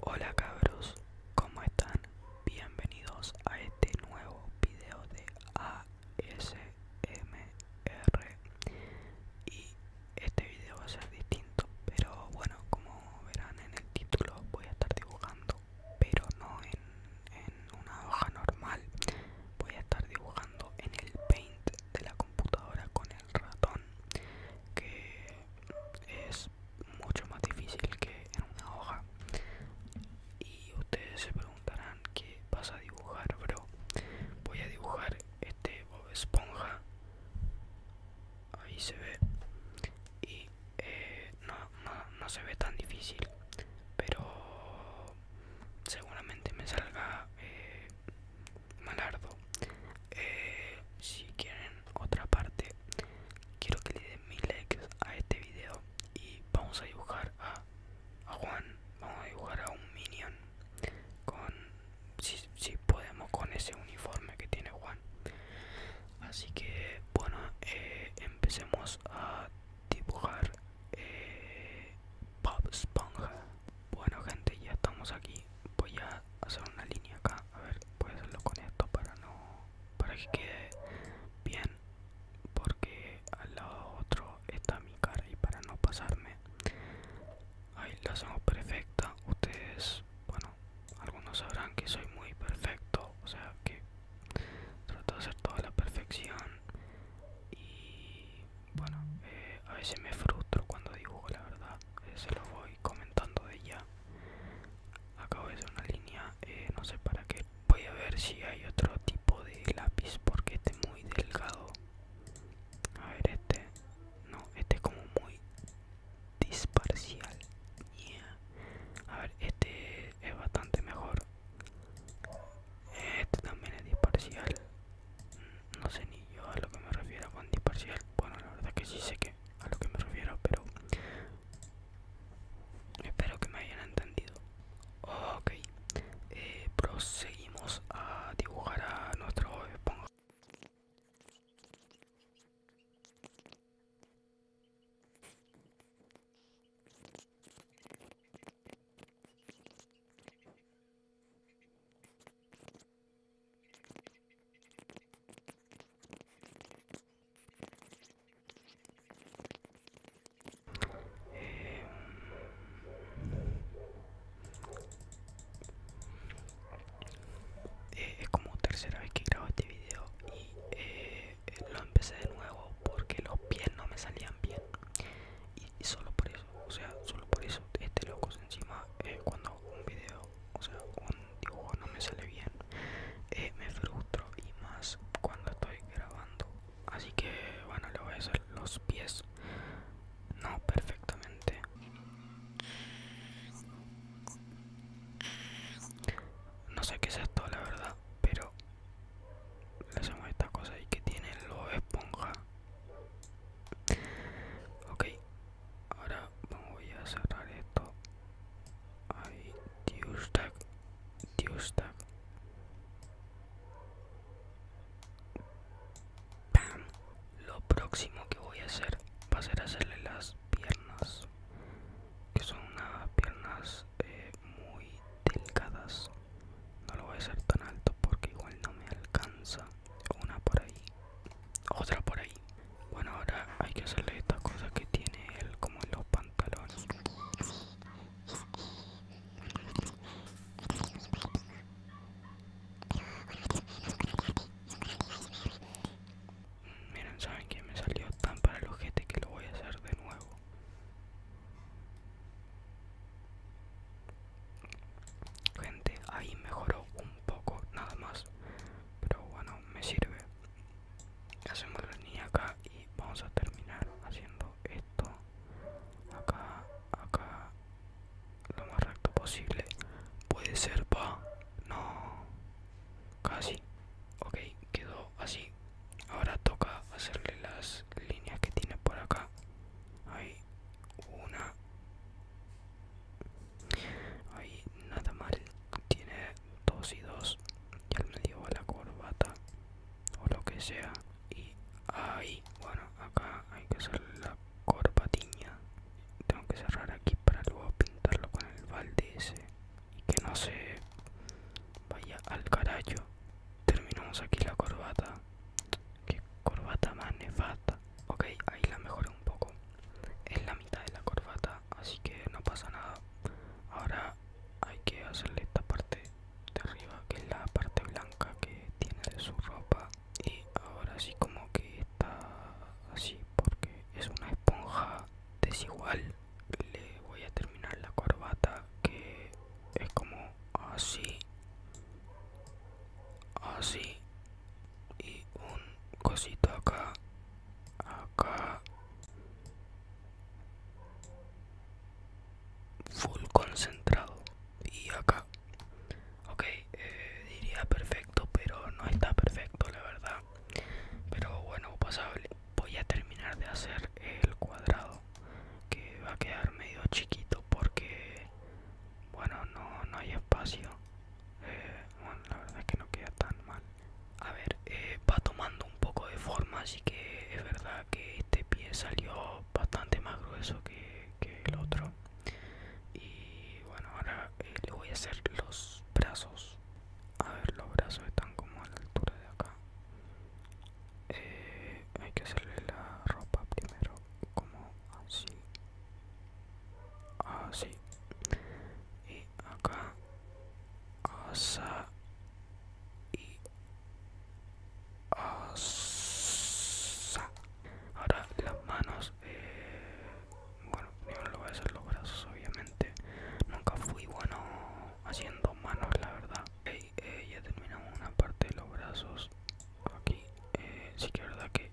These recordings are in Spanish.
Hola cabros, ¿cómo están? Bienvenidos a este nuevo video de ASMR y este video va a ser distinto, pero bueno, como verán en el título voy a estar dibujando, pero no en, una hoja normal, voy a estar dibujando en el paint de la computadora con el ratón que es mucho más difícil que en una hoja y ustedes se preguntarán qué vas a dibujar bro voy a dibujar este Esponja ahí se ve y eh, no, no, no se ve tan difícil pero seguramente me salga eh, Malardo eh, Si quieren otra parte Quiero que le den mil likes a este video Y vamos a dibujar a, Juan Vamos a dibujar a un minion Con si, si podemos con ese uniforme que tiene Juan Así que bueno eh, Empecemos a dibujar eh, Bob Esponja bueno gente, ya estamos aquí. Voy a hacer una línea acá. A ver, voy a hacerlo con esto para no. para que quede bien. Porque al lado otro está mi cara y para no pasarme. Ahí la hacemos perfecta. Ustedes, bueno, algunos sabrán que soy muy perfecto. O sea que trato de hacer toda la perfección. Y bueno, eh, a veces me frustro cuando dibujo, la verdad. Eh, se lo voy comentando de ella acabo de hacer una línea eh, no sé para qué voy a ver si hay otro tipo de lápiz porque este es muy delgado a ver este no este es como muy disparcial a ver este es bastante mejor este también es disparcial no sé ni yo a lo que me refiero con disparcial. Bueno, la verdad que sí sé que a lo que me refiero, pero espero que me hayan entendido. Ok, eh, proseguimos a dibujar a nuestro esponja. Eh, es como tercera vez que grabo este video y eh, lo empecé de nuevo porque los pies no me salían bien y solo por eso o sea solo por eso este locos encima eh, cuando un video o sea un dibujo no me sale bien eh, me frustro y más cuando estoy grabando así que bueno le voy a hacer los pies no perfectamente no sé qué es esto la verdad pero le hacemos esta cosa y que tiene lo esponja ok ahora voy a cerrar esto ahí dios tag dios tag Lo próximo que voy a hacer va a ser hacerle las piernas, que son unas piernas eh, muy delgadas no lo voy a hacer tan alto porque igual no me alcanza una por ahí otra por ahí bueno ahora hay que hacerle estas cosas que tiene él como en los pantalones mm, miren saben que me salió tan para el ojete que lo voy a hacer de nuevo Gente, ahí mejoró un poco, nada más. Pero bueno, me sirve. Hacemos la línea acá y vamos a terminar haciendo esto. Acá, acá. Lo más recto posible. Puede ser, pa. No. Casi. Ok, quedó así. Ahora toca hacerle las líneas que tiene por acá hay una ahí nada mal tiene dos y dos y al medio va la corbata o lo que sea y hay bueno acá hay que hacer la corbatiña tengo que cerrar aquí para luego pintarlo con el balde ese y que no se vaya al carajo terminamos aquí la corbata corbata. Qué corbata más nefasta. Ok, ahí la mejoré un poco. Es la mitad de la corbata, así que no pasa nada. Ahora hay que hacerle esta parte de arriba, que es la parte blanca que tiene de su ropa. Y ahora sí como que está así, porque es una esponja desigual. Le voy a terminar la corbata que es como así, ah, así ah, y un cosito acá, acá, full concentrado y acá. Ok, eh, diría perfecto, pero no está perfecto la verdad. Pero bueno, pasable. Voy a terminar de hacer el cuadrado que va a quedar medio chiquito porque bueno no, no hay espacio eh, bueno la verdad es que no queda tan mal a ver eh, va tomando un poco de forma así que es verdad que este pie salió bastante más grueso que, el otro y bueno ahora eh, le voy a hacer los brazos a ver los brazos están como a la altura de acá eh, hay que hacerle la ropa primero como así así y acá asa y asa ahora las manos eh, bueno no lo voy a hacer los brazos obviamente nunca fui bueno haciendo manos la verdad eh, ya terminamos una parte de los brazos aquí eh, sí que es verdad que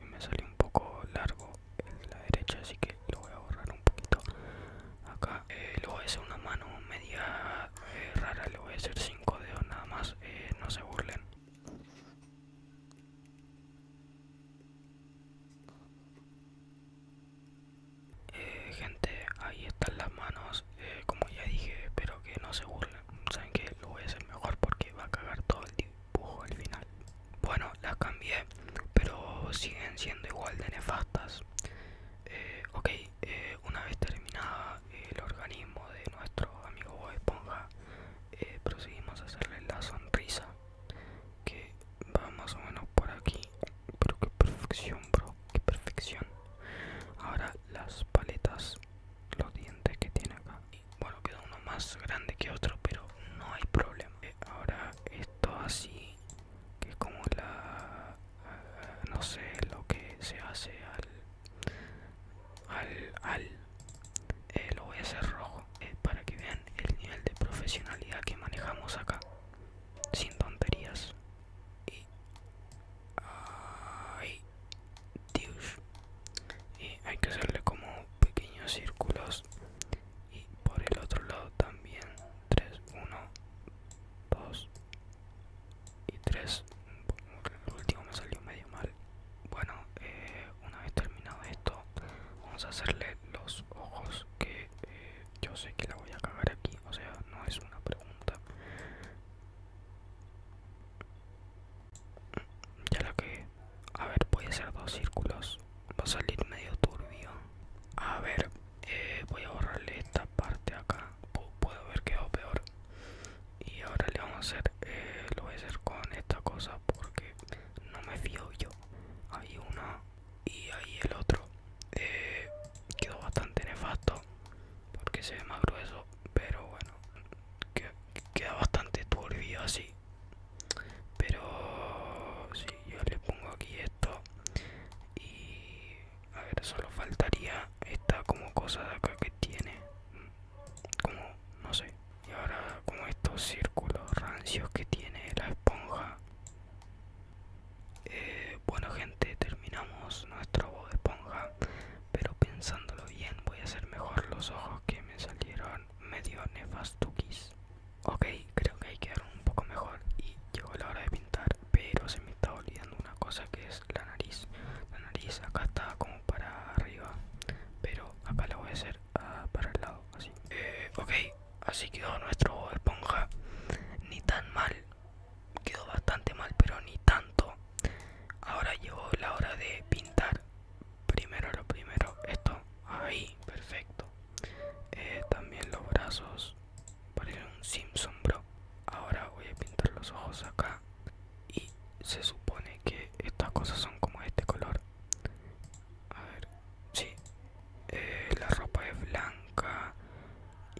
me salió un poco largo en la derecha así que lo voy a borrar un poquito acá eh, lo voy a hacer una mano media rara le voy a hacer cinco dedos nada más no se burlen eh, gente ahí están las manos eh, como ya dije espero que no se burlen saben que lo voy a hacer mejor porque va a cagar todo el dibujo al final bueno las cambié pero siguen siendo igual de nefastas eh, ok una vez terminada el organismo de nuestro amigo Bob Esponja proseguimos a hacerle la sonrisa que va más o menos por aquí pero qué perfección bro qué perfección ahora las paletas los dientes que tiene acá y bueno queda uno más grande que otro pero no hay problema eh, ahora esto así que es como la ah, no sé lo que se hace al al al eh, lo voy a hacer rojo eh, para que vean el nivel de profesionalidad que manejamos acá sin tonterías y hay que hacerle como pequeños círculos y por el otro lado también 3 1 2 y 3 el último me salió medio mal bueno eh, una vez terminado esto vamos a hacerle los ojos que eh, yo sé que la voy a cagar aquí, o sea, no es una pregunta. Ya la que, a ver, voy a hacer dos círculos, va a salir medio turbio. A ver, eh, voy a borrarle esta parte acá, Puedo ver que quedado peor. Y ahora le vamos a hacer, eh, lo voy a hacer con esta cosa porque no me fío yo. Hay una y ahí el otro eh, quedó bastante nefasto porque se ve más grueso pero bueno queda bastante turbio así pero si yo le pongo aquí esto y a ver solo faltaría esta como cosa de acá que tiene como no sé y ahora como estos círculos rancios que tiene la esponja eh, bueno gente, terminamos nuestro de Esponja, pero pensándolo bien voy a hacer mejor los ojos que me salieron medio nefastuquis. Ok, creo que hay que quedaron un poco mejor y llegó la hora de pintar, pero se me está olvidando una cosa que es la nariz. La nariz acá está como para arriba, pero acá la voy a hacer Ah, para el lado, así. Eh, ok, así quedó nuestro esponja. Ni tan mal, quedó bastante mal, pero ni tanto. Ahora llegó la hora de pintar. Primero lo primero, esto ahí, perfecto. Eh, también los brazos, Parecen un Simpson, bro. Ahora voy a pintar los ojos acá. Y se supone que estas cosas son como este color. A ver, sí. Eh, la ropa es blanca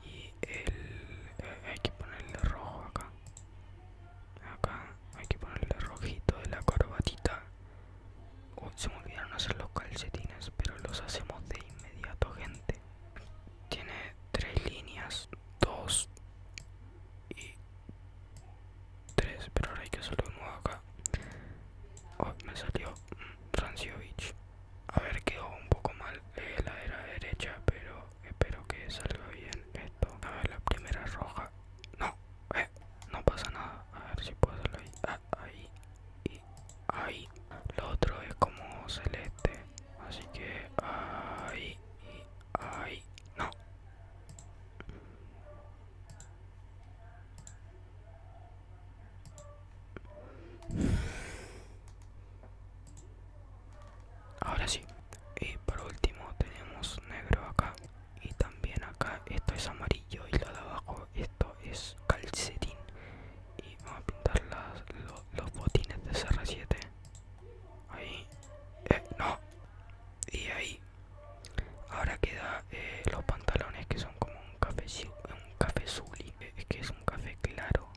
y el... Eh, hay que ponerle rojo acá. Acá hay que ponerle rojito de la corbatita. se me olvidaron hacer los calcetines, pero los hacemos de inmediato, gente. Tiene tres líneas, dos y 3 pero ahora hay que hacerlo uno acá oh, me salió mm, Franciovich a ver quedó un poco mal eh, la era derecha pero espero que salga bien esto a ver la primera roja no eh, no pasa nada a ver si puedo hacerlo ahí ah, ahí y ahí lo otro es como celeste así que ahí y ahí no Ahora sí. Y por último tenemos negro acá. Y también acá esto es amarillo y lo de abajo esto es calcetín. Y vamos a pintar los botines de CR7. Ahí. Eh, no. Y ahí. Ahora queda eh, los pantalones que son como un café, un café eh, es que es un café claro.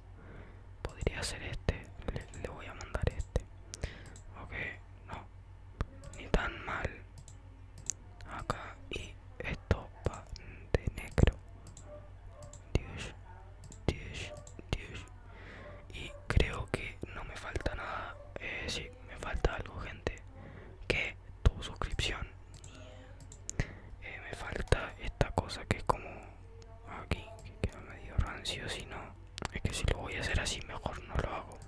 Podría ser este, le, voy a mandar este. Ok, no, ni tan mal. Acá y esto va de negro. Y creo que no me falta nada. Eh, me falta algo gente que tu suscripción eh, me falta esta cosa que es como aquí ah, que queda medio rancio si no es que si lo voy a hacer así mejor no lo hago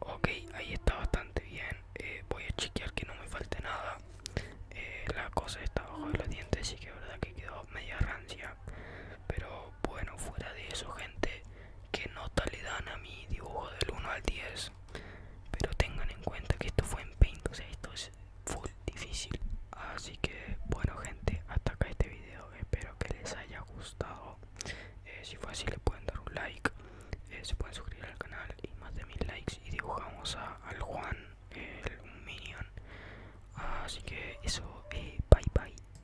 ok ahí está bastante bien eh, voy a chequear que no me falte nada eh, la cosa está bajo de los dientes y que verdad que quedó media rancia pero bueno fuera de eso gente qué nota le dan a mi dibujo del 1 al 10 pero tengan en cuenta que esto fue en paint o sea esto es full difícil así que bueno gente hasta acá este video espero que les haya gustado eh, si fue así le pueden dar un like eh, se pueden suscribir al canal y más de mil likes y dibujamos a, al Juan el, minion así que eso eh, bye bye